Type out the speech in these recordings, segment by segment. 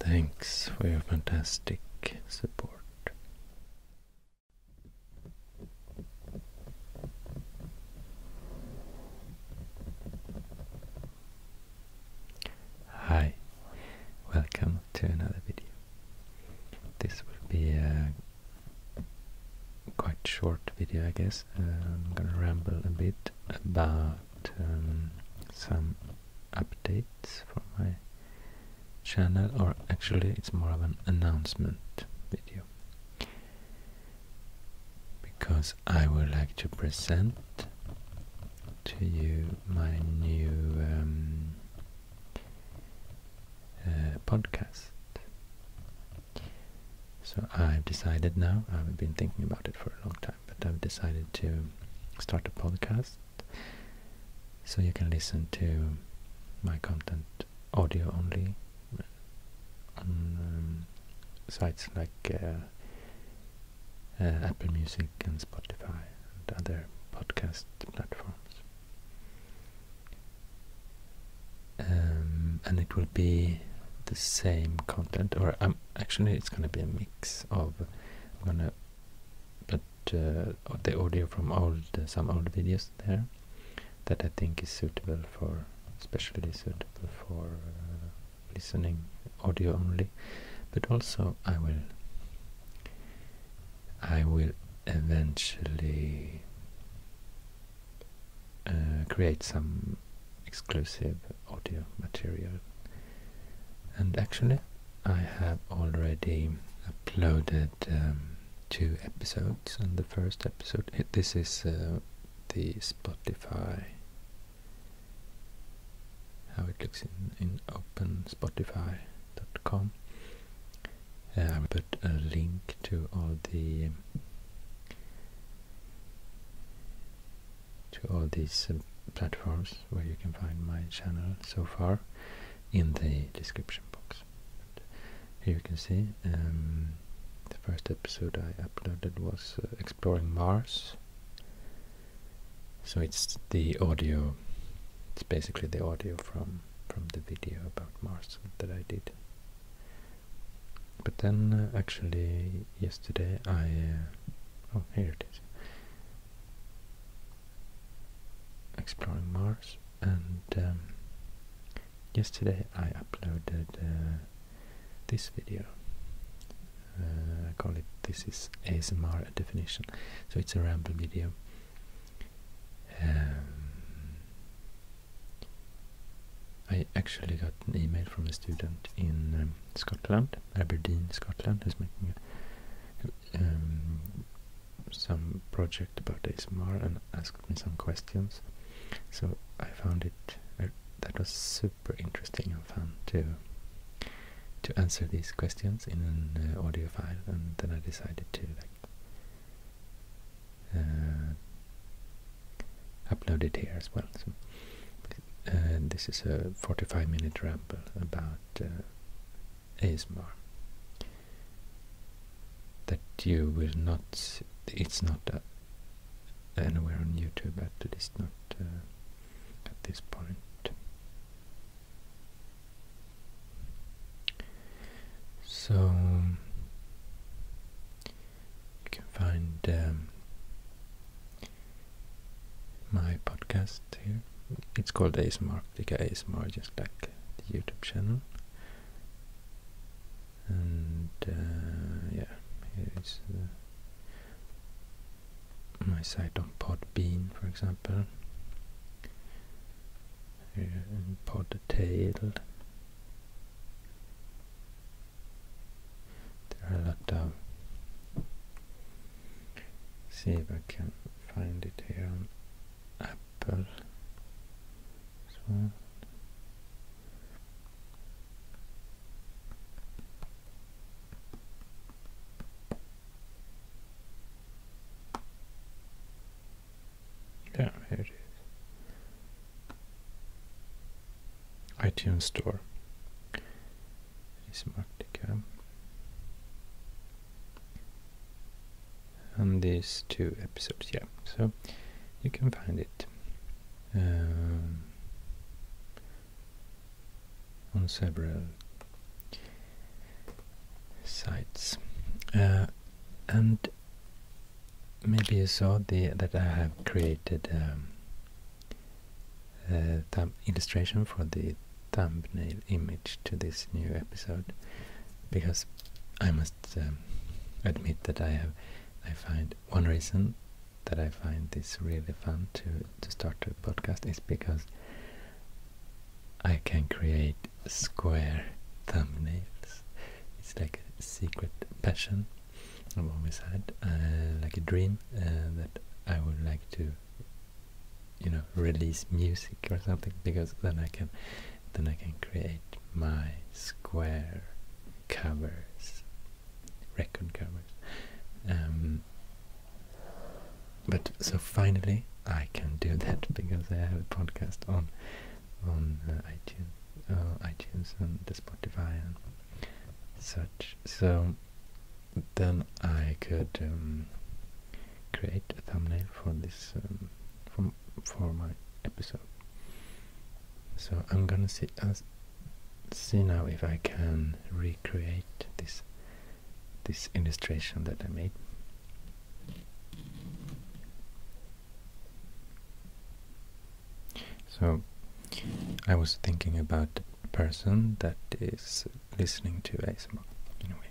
Thanks for your fantastic support. Hi, welcome to another video. This will be a quite short video, I guess. I'm gonna ramble a bit about um, some updates for my channel, or actually, it's more of an announcement video because I would like to present to you my new um, uh, podcast. So I've decided now, I've been thinking about it for a long time, but I've decided to start a podcast so you can listen to my content audio only uh, on um, sites like uh, uh, Apple Music and Spotify and other podcast platforms. Um, and it will be the same content or um, actually it's going to be a mix of I'm gonna put uh, the audio from old uh, some old videos there that I think is suitable for especially suitable for uh, listening audio only but also I will I will eventually uh, create some exclusive audio material. And actually, I have already uploaded um, two episodes. And the first episode, this is uh, the Spotify, how it looks in, in OpenSpotify.com. Uh, I will put a link to all the to all these uh, platforms where you can find my channel so far in the description box. here you can see um, the first episode I uploaded was uh, Exploring Mars. So it's the audio, it's basically the audio from, from the video about Mars that I did but then, uh, actually, yesterday I... Uh, oh, here it is. Exploring Mars. And um, yesterday I uploaded uh, this video. I call it This is ASMR Definition. So it's a ramble video. Um, I actually got an email from a student in um, Scotland, Aberdeen, Scotland, who's making um, some project about ASMR and asked me some questions. So I found it uh, that was super interesting and fun to to answer these questions in an uh, audio file, and then I decided to uh, uploaded here as well. Uh, this is a 45 minute ramble about uh, that you will not, it's not uh, anywhere on YouTube, at least not uh, at this point. So, you can find um, my podcast here. It's called ASMR, Flicka ASMR, just like the YouTube channel. And uh, yeah, here is uh, my site on Podbean, for example. Podtail. There are a lot of. See if I can find it here on Apple. So it is iTunes Store. Smartica. And these two episodes, yeah. So you can find it um, on several sites. Uh, and maybe you saw the, that I have created um, illustration for the thumbnail image to this new episode because I must um, admit that I have I find one reason that I find this really fun to to start a podcast is because I can create square thumbnails. It's like a secret passion I've always had uh, like a dream uh, that I would like to, you know, release music or something because then I can, then I can create my square covers, record covers. Um, but so finally, I can do that because I have a podcast on on uh, iTunes. Uh, iTunes and the Spotify and such. So then I could um, create a thumbnail for this um, for for my episode. So I'm gonna see uh, see now if I can recreate this this illustration that I made. So I was thinking about the person that is listening to ASMR in a way.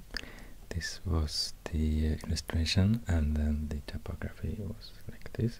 this was the illustration, and then the typography was like this.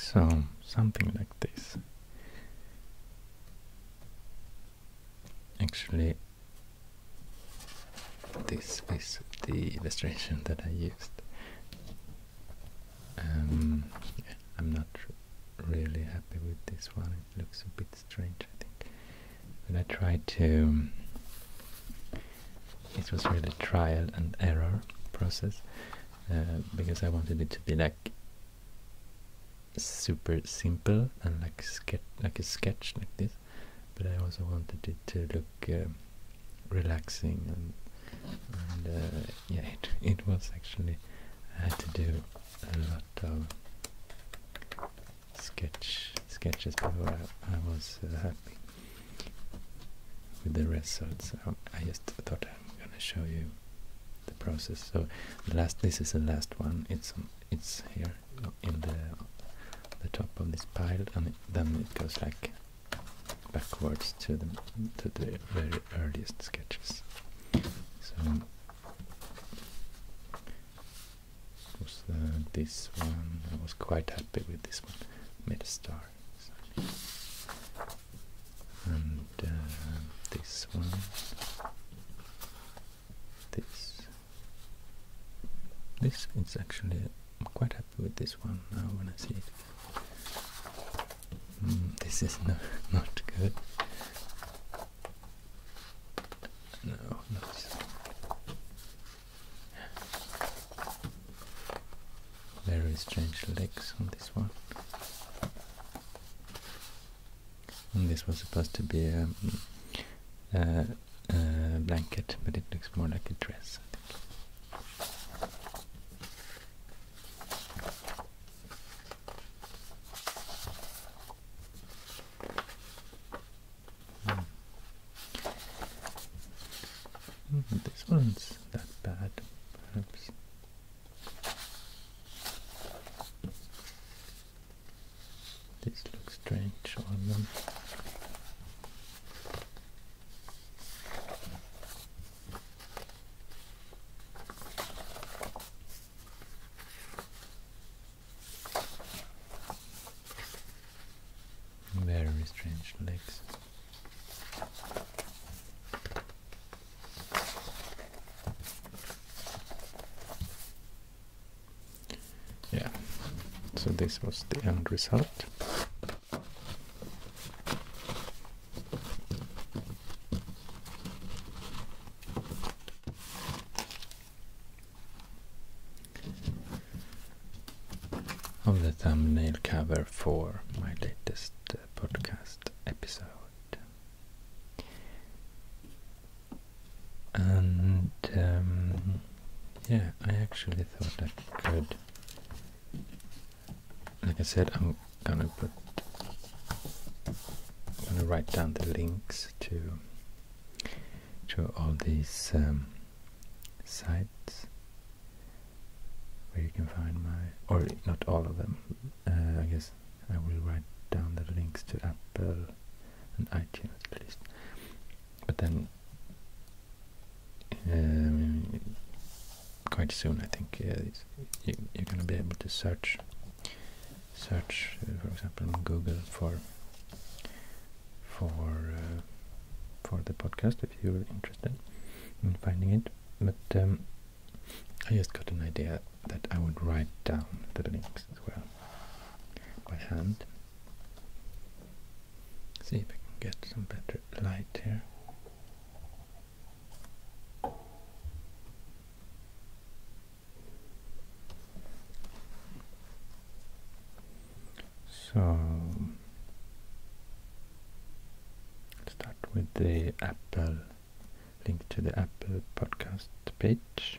So something like this actually this is the illustration that I used. Um, I'm not really happy with this one. It looks a bit strange, I think. But I tried to. It was really trial and error process uh, because I wanted it to be like super simple and like sketch, like a sketch like this but I also wanted it to look um, relaxing and, uh, yeah it, it was actually I had to do a lot of sketch sketches before I, was uh, happy with the results So um, I just thought I'm gonna show you the process so the last this is the last one it's it's here in the top of this pile, and then it goes like backwards to the to the very earliest sketches. So uh, this one. I was quite happy with this one. Made a star. And uh, this one this this is actually I'm quite happy with this one now when I see it. Mm, this is no, not good. No, not. Very strange legs on this one this was supposed to be mm, a, blanket, but it looks more like a dress. Hmm. Hmm, this one's that bad, perhaps. This looks strange on them. Very strange legs yeah so this was the end result of the thumbnail cover for my latest uh, podcast episode and um, yeah, I actually thought I could. Like I said, I'm gonna put, I'm gonna write down the links to to all these um, sites where you can find my, or not all of them. Uh, I guess I will write down the links to Apple and iTunes at least. But then, um, quite soon, I think uh, you, are going to be able to search, search, uh, for example, Google for for uh, for the podcast if you're interested in finding it. But um, I just got an idea that I would write down the links text well by hand. See if I can get some better light here. So start with the Apple link to the Apple podcast page.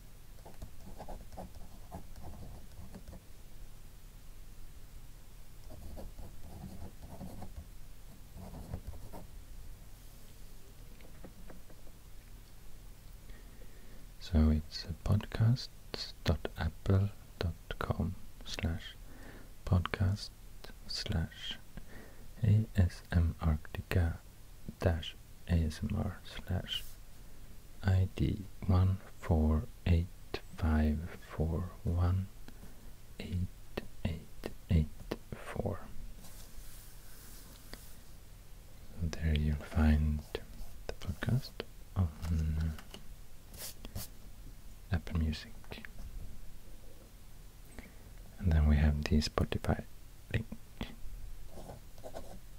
So it's podcasts.apple.com slash podcast slash ASM Arctica dash ASMR slash ID one four eight five four one eight eight eight four. There you'll find the podcast on Apple Music. And then we have the Spotify link.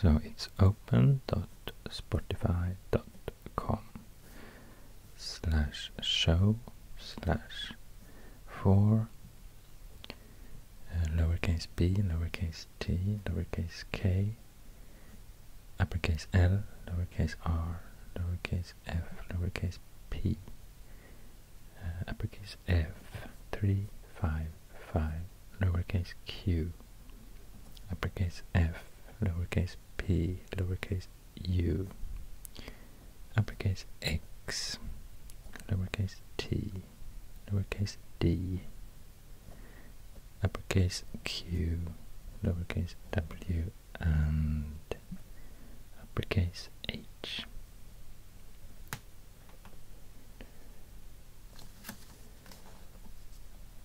So it's open.spotify.com slash show slash four uh, lowercase b, lowercase t, lowercase k uppercase L, lowercase r, lowercase f, lowercase p, uh, uppercase F, 3, lowercase q, uppercase F, lowercase p, lowercase u, uppercase x, lowercase t, lowercase d, uppercase Q, lowercase w, and uppercase h.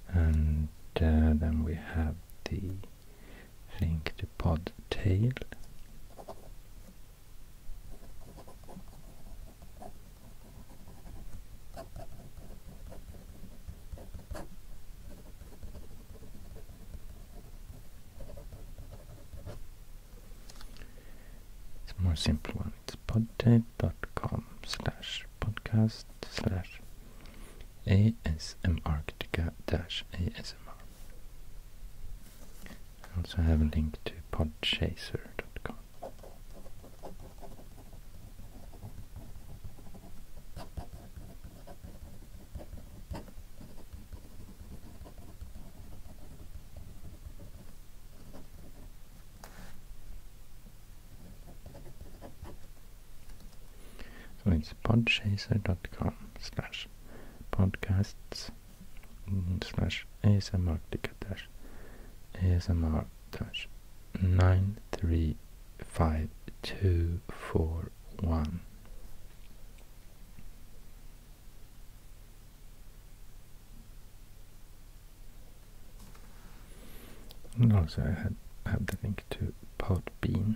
And uh, then we have the link to Podtail. It's more simple one. It's podtape.com slash podcast slash asmarctica dash asmr. I also have a link to podchaser.com. So it's podchaser.com slash podcasts slash ASMR dash ASMR dash nine three five two four one. And also I had have the link to Podbean.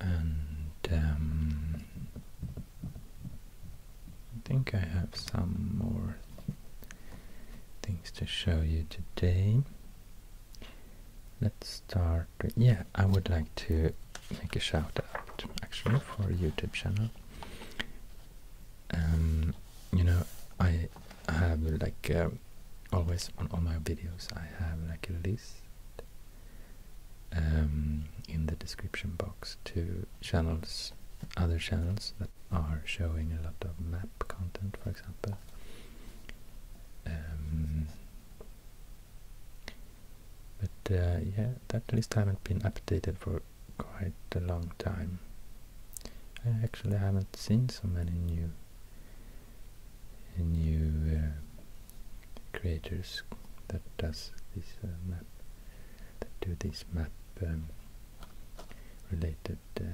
and um, I think I have some more things to show you today. Let's start. yeah, I would like to make a shout out actually for YouTube channel. Um, you know, I have like always on all my videos I have like a list um, in the description box to channels, other channels that are showing a lot of map content, for example. Um, but uh, yeah, that list haven't been updated for quite a long time. I actually haven't seen so many new a new creators that does this uh, map, do this map um, related uh,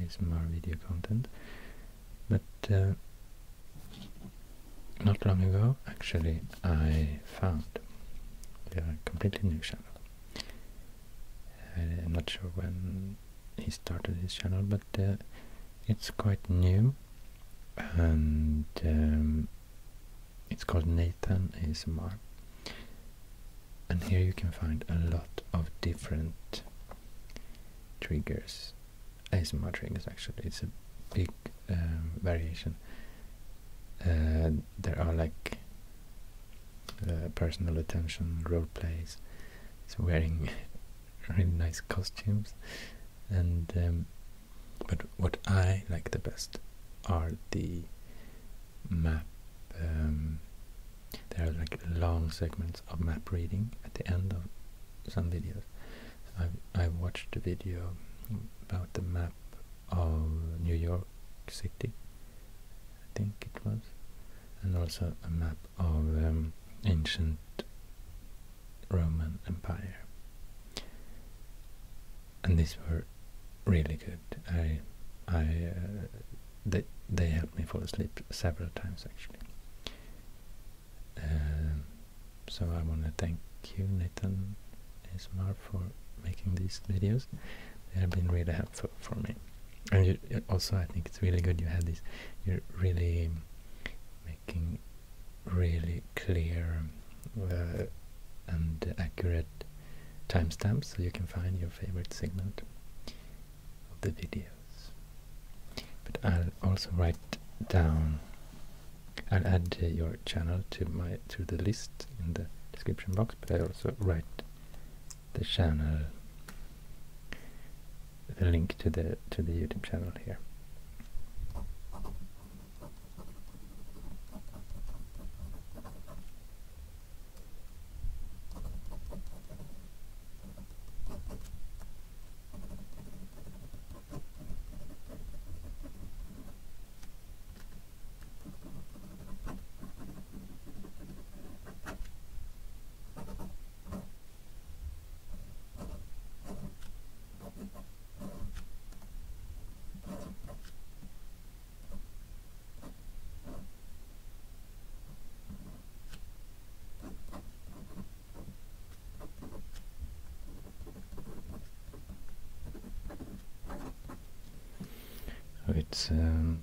ASMR video content. But uh, not long ago, actually, I found a completely new channel. I'm not sure when he started his channel, but uh, it's quite new and um, it's called Nathan ASMR. And here you can find a lot of different triggers, ASMR triggers actually, it's a big um, variation. Uh, there are like uh, personal attention role plays, it's wearing really nice costumes and um, but what I like the best are the map um, there are like long segments of map reading at the end of some videos I, I watched the video about the map of New York City I think it was and also a map of um, ancient Roman Empire. And these were really good. I, I, uh, they they helped me fall asleep several times actually. Um, so I want to thank you, Nathan ASMR, for making these videos. They have been really helpful for me. And also, I think it's really good you had this. You're really making really clear uh, and accurate timestamps so you can find your favorite segment of the videos. But I'll also write down, I'll add uh, your channel to my to the list in the description box, but I also write the channel the link to the to the YouTube channel here. It's um,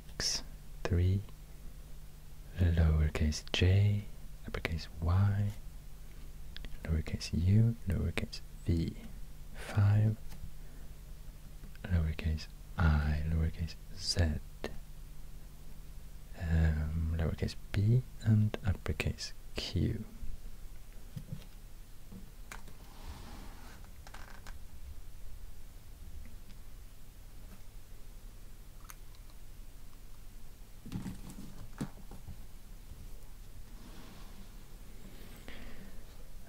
x, 3, lowercase j, uppercase y, lowercase u, lowercase v, 5, lowercase i, lowercase z, um, lowercase b, and uppercase q.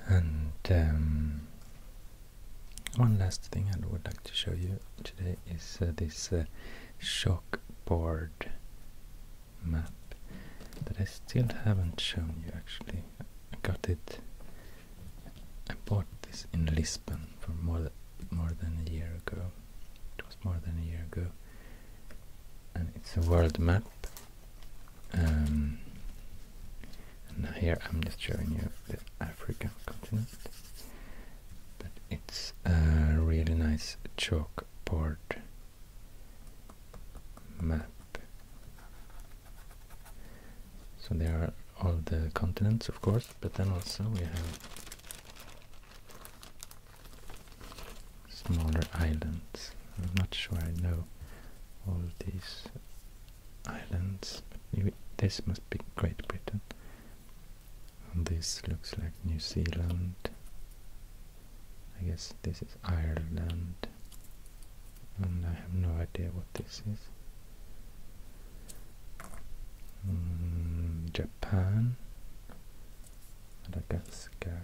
And um, one last thing I would like to show you today is uh, this uh, shockboard map that I still haven't shown you actually. I got it I bought this in Lisbon for more than, a year ago. It was more than a year ago. And it's a world map. Um, and here I'm just showing you the African continent. But it's a really nice chalkboard map so there are all the continents, of course, but then also we have smaller islands. I'm not sure I know all these islands. This must be Great Britain. this looks like New Zealand. I guess this is Ireland and I have no idea what this is. Mm, Japan, Madagascar.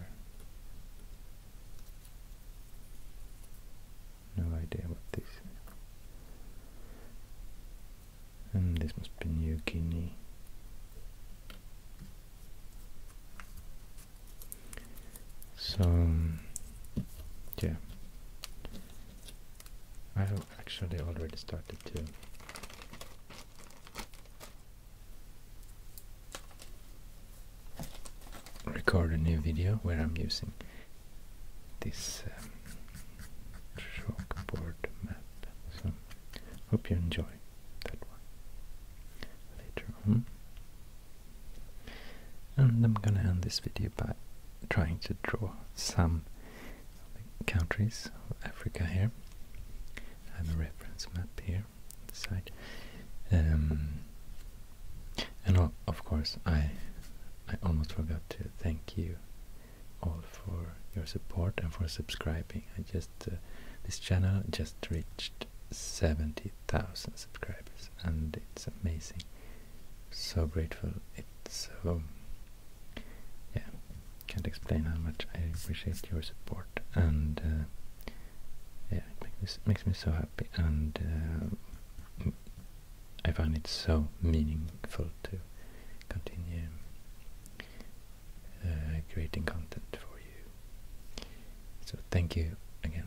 No idea what this is. And this must be New Guinea. So um, yeah, I have actually already started to. Record a new video where I'm using this um, chalkboard map. So, hope you enjoy that one later on. And I'm gonna end this video by trying to draw some countries of Africa here. I have a reference map here on the side. Um, and of course, I I almost forgot to thank you all for your support and for subscribing. I just uh, this channel just reached 70,000 subscribers and it's amazing so grateful. It's so um, yeah, can't explain how much I appreciate your support, and uh, yeah, it makes me, makes me so happy, and uh, I find it so meaningful to continue uh, creating content for you. So thank you again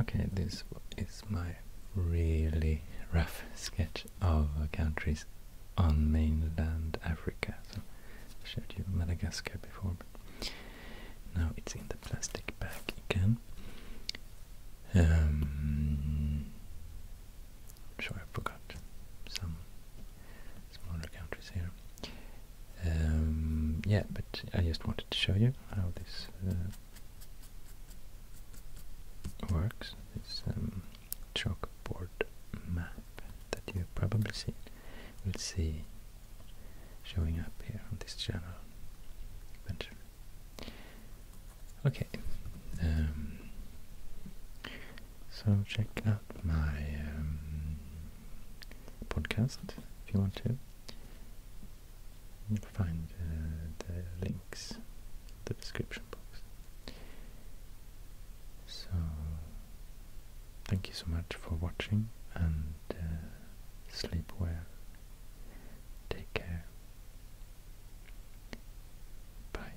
Okay, this is my really rough sketch of uh, countries on mainland Africa. So I showed you Madagascar before, but now it's in the plastic bag again. Um, sure I forgot some smaller countries here. Um, yeah, but I just wanted to show you how this uh, works. This um, chalkboard map that you've probably seen will see showing up here on this channel eventually. Okay, um, so check out my um, podcast if you want to. you find uh, the links in the description box. So, thank you so much for watching and uh, sleep well. Take care. Bye.